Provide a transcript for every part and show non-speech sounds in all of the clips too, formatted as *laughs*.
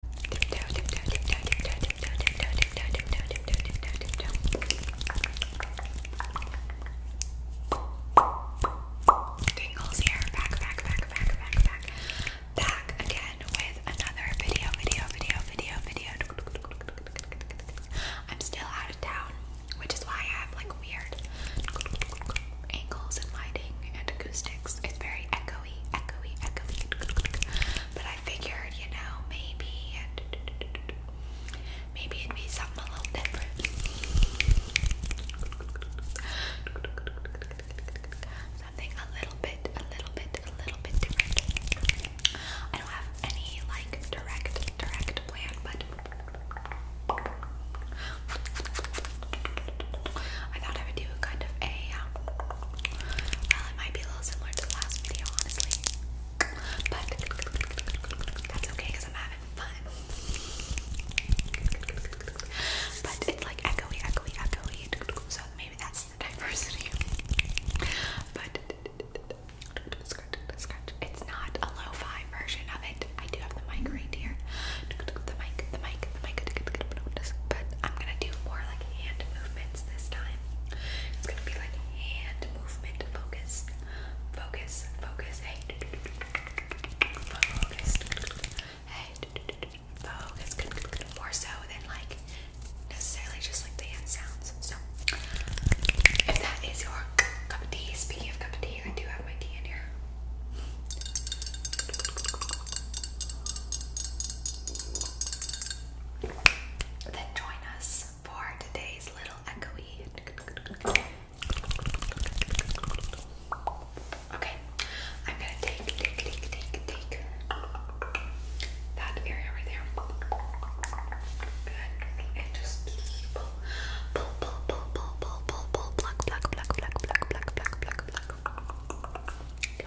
Tingles here, back, back, back, back, back, back, back again with another video, video, video, video, video. I'm still out of town, which is why I have like weird angles and lighting and acoustics. It's very echoey. But I figured, you know, maybe maybe it'd be something a little different. Something a little bit, a little bit, a little bit different. I don't have any like direct, direct plan, but I thought I would do kind of a um, it might be a little similar to the last video, honestly. But that's okay because I'm having fun. But it's like echoey, echoey, echoey. So maybe that's the diversity. But scratch, scratch. It's not a lo-fi version of it. I do have the mic right here. The mic, the mic, but I'm gonna do more like hand movements this time. It's gonna be like hand movement focus. Focus, Focus. Hey. Focus. More so than like necessarily just like the hand sounds. So if that is your cup of tea, speaking of cup of tea, I do have my tea in here. Then join us for today's little echoey. Okay, I'm gonna take, take, take, take, that area right there. Good. And just pull, pull, pull, pull, pull, pull, pull, pull, pluck, pluck, pluck, pluck, pluck, pluck, pluck, pluck, pluck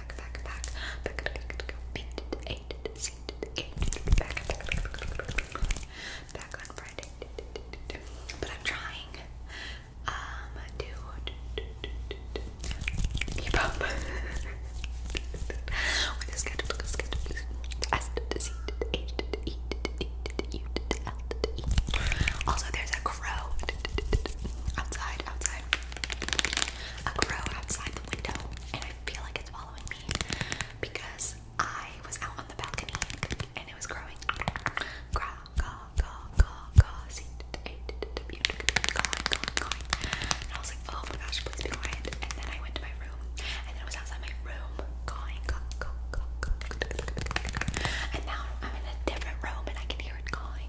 back, back, back, back, back, back on Friday. But I'm trying um to Also, there's a crow outside, outside. A crow outside window and I feel like it's following me because I was out on the balcony and it was growing. and I was like, oh my gosh, please be quiet. And then I went to my room, and then was outside my room, and now I'm in a different room, and I can hear it going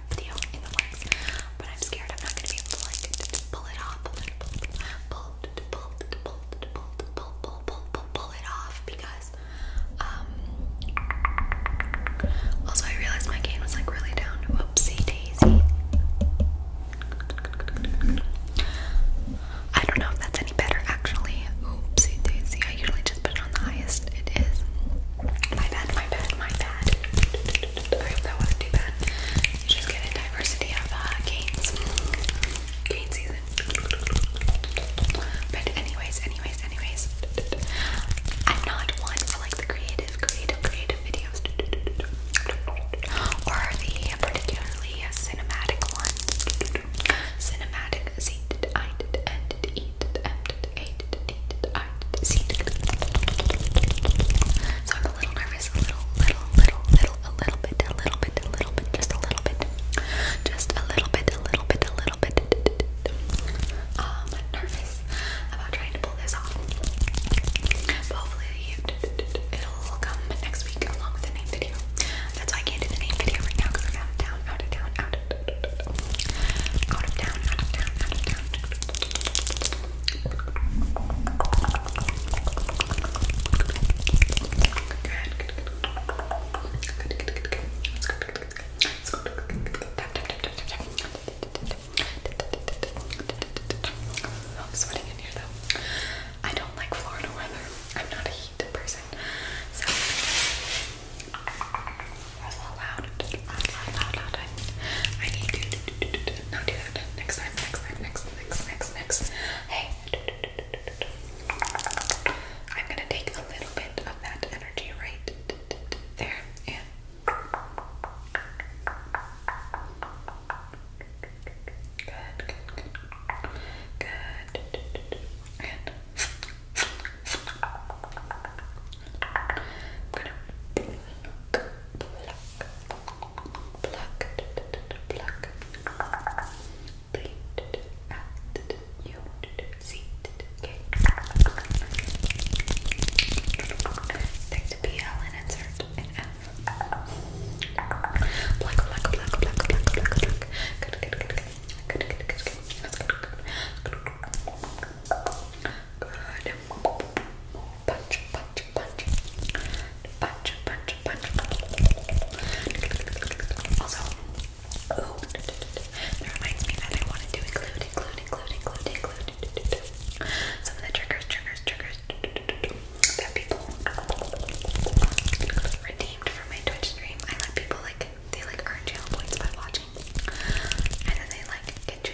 have a but I'm scared I'm not going to be able to like pull it off, pull, pull, pull, pull, pull, pull, pull, pull, pull, pull it off because um, also I realized my cane was like really down. Whoopsie daisy. I don't know if that's any better actually. Oopsie daisy. I usually just put it on the highest it is. My bad, my bad, my bad. I hope that wasn't too bad. You just get a diversity of uh, games, gains. Gain But anyways, anyways, anyways. I'm not one for like the creative, creative, creative videos. Or the particularly cinematic ones. Cinematic, see, I did, and eat, and so I'm a little nervous, a little, little, little, little, a little bit, a little bit, a little bit, just a little bit, just a little bit, a little bit, a little bit. Um, nervous about trying to pull this off. But hopefully it'll come next week along with the name video. That's why I can't do the name video right now because I'm out of town, out of town, out of out of town, I'm sweating in here though. I don't like Florida weather. I'm not a heat person. So that's not loud. That's not loud, loud. I, I need to do, do, do, do, not do that. Next time, next time, next, next, next, next. Hey. Do, do, do, do, do, do. I'm gonna take a little bit of that energy right there and good, good, good, good, and gonna pluck, pluck, pluck, pluck, bleed at you see okay take the PL and insert an F pluck, pluck, pluck, pluck, pluck, pluck, pluck good, good, good, good Good, good, good, good. That's good, good. Good. Good punch, punch, punch, punch, punch, punch. Also, oh, that reminds me that I wanted to include, include, include, include, include some of the triggers, triggers, triggers that people redeemed for my Twitch stream. I let people like they like earn channel points by watching, and then they like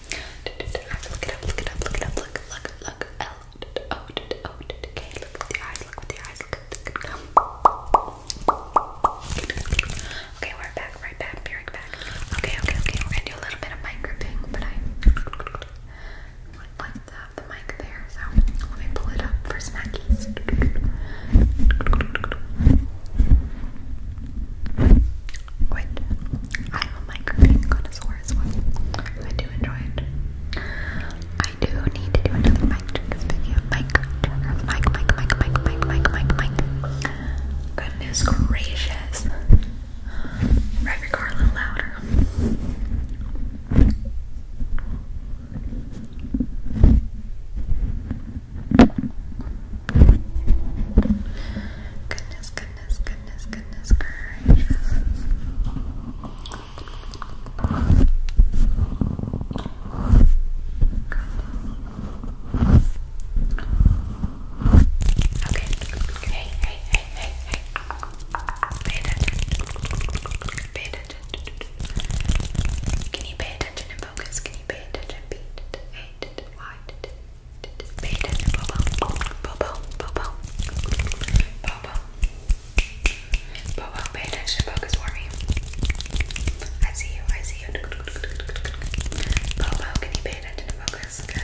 Okay, we're back, right back, be back. Okay, okay, okay, we're gonna do a little bit of mic gripping, but I would like to have the mic there, so let me pull it up for snackies. Which I'm a microphone connoisseur as I do enjoy it. I do need to do another mic video. Mic check. Mic, mic, mic, mic, mic, mic, mic, Goodness gracious. Drive your car a little louder. goodness, goodness, goodness, goodness, Okay. Hey, hey, hey, hey, hey. Pay attention. Pay attention. Can you pay attention and focus? Can you pay attention? Beat it. Why did it? Pay attention, Bobo. Bobo, Bobo. Bobo. Bobo, pay attention, focus for me. I see you, I see you. Bobo, can you pay attention and focus? Good.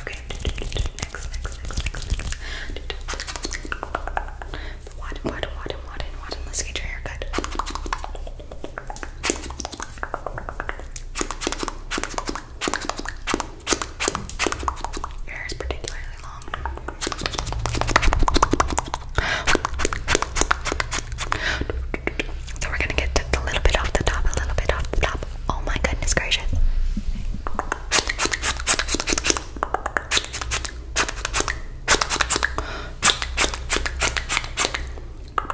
Okay, next, next, next, next, next. What, what, what, what, what, let's get your hair cut. Your hair is particularly long. So we're gonna get a little bit off the top, a little bit off the top. Oh my goodness gracious. Twinkle,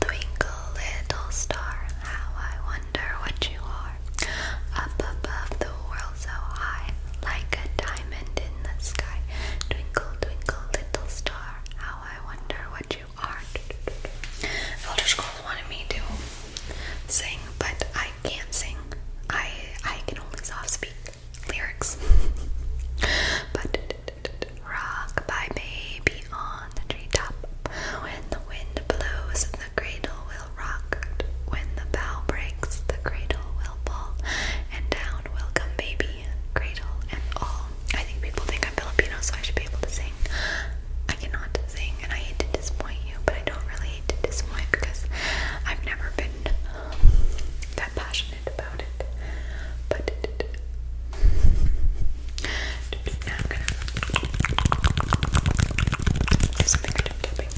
twinkle, little star, how I wonder what you are. Up above the world so high, like a diamond in the sky. Twinkle, twinkle, little star, how I wonder what you are. Elder Scrolls wanted me to sing, but I can't sing. I I can only soft speak lyrics. *laughs* but rock by baby on the treetop. When the wind blows, the cradle will when the bow breaks, the cradle will fall, and down will come baby, cradle and all. I think people think I'm Filipino, so I should be able to sing. I cannot sing, and I hate to disappoint you, but I don't really hate to disappoint because I've never been that passionate about it. But *laughs* now I'm gonna do something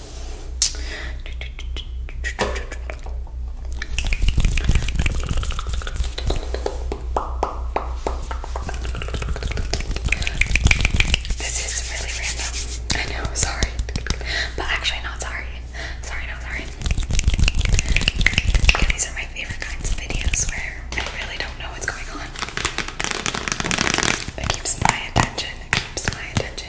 This is really random. I know, sorry. But actually, not sorry. Sorry, no sorry. Yeah, these are my favorite kinds of videos where I really don't know what's going on. It keeps my attention. It keeps my attention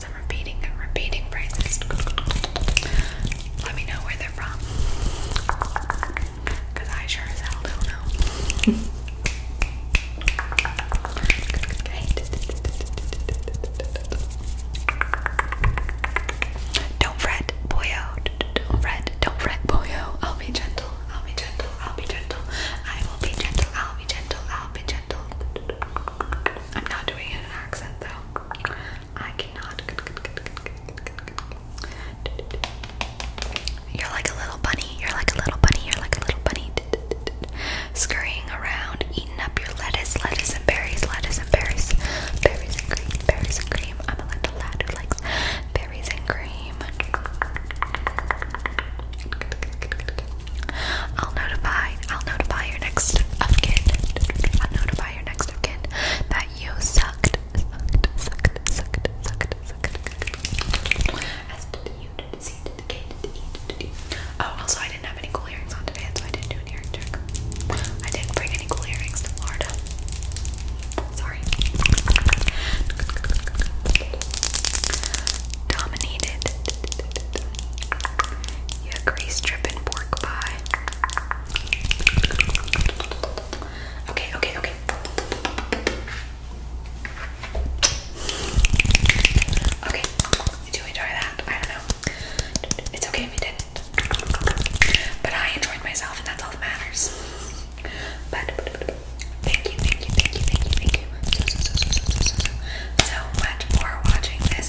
I'm repeating and repeating phrases. Let me know where they're from. I sure as hell don't know. Don't fret, boyo. Don't fret, don't fret, boyo. I'll be gentle, I'll be gentle, I'll be gentle. I will be gentle, I'll be gentle, I'll be gentle. I'm not doing an accent though. I cannot. You're like a little bunny. You're like a little bunny. You're like a little bunny. Scurrying around, eating up your lettuce, lettuce and berries, lettuce and berries, berries and cream, berries and cream. I'm a little lad who likes berries and cream. I'll notify I'll notify your next of I'll notify your next of that you sucked, sucked, sucked, sucked, sucked, sucked. Oh, also, I didn't have any cool earrings on today, so I didn't do an earring check. I didn't bring any cool earrings to Florida. Sorry. Dominated. Yeah, grease dripping pork pie. Okay, okay, okay. Okay, did you enjoy that? I don't know. It's okay if you didn't. But I enjoyed myself, and that's all that matters. but thank you, thank you, thank you, thank you, thank you so, so, so, so, so, so, so, so much for watching this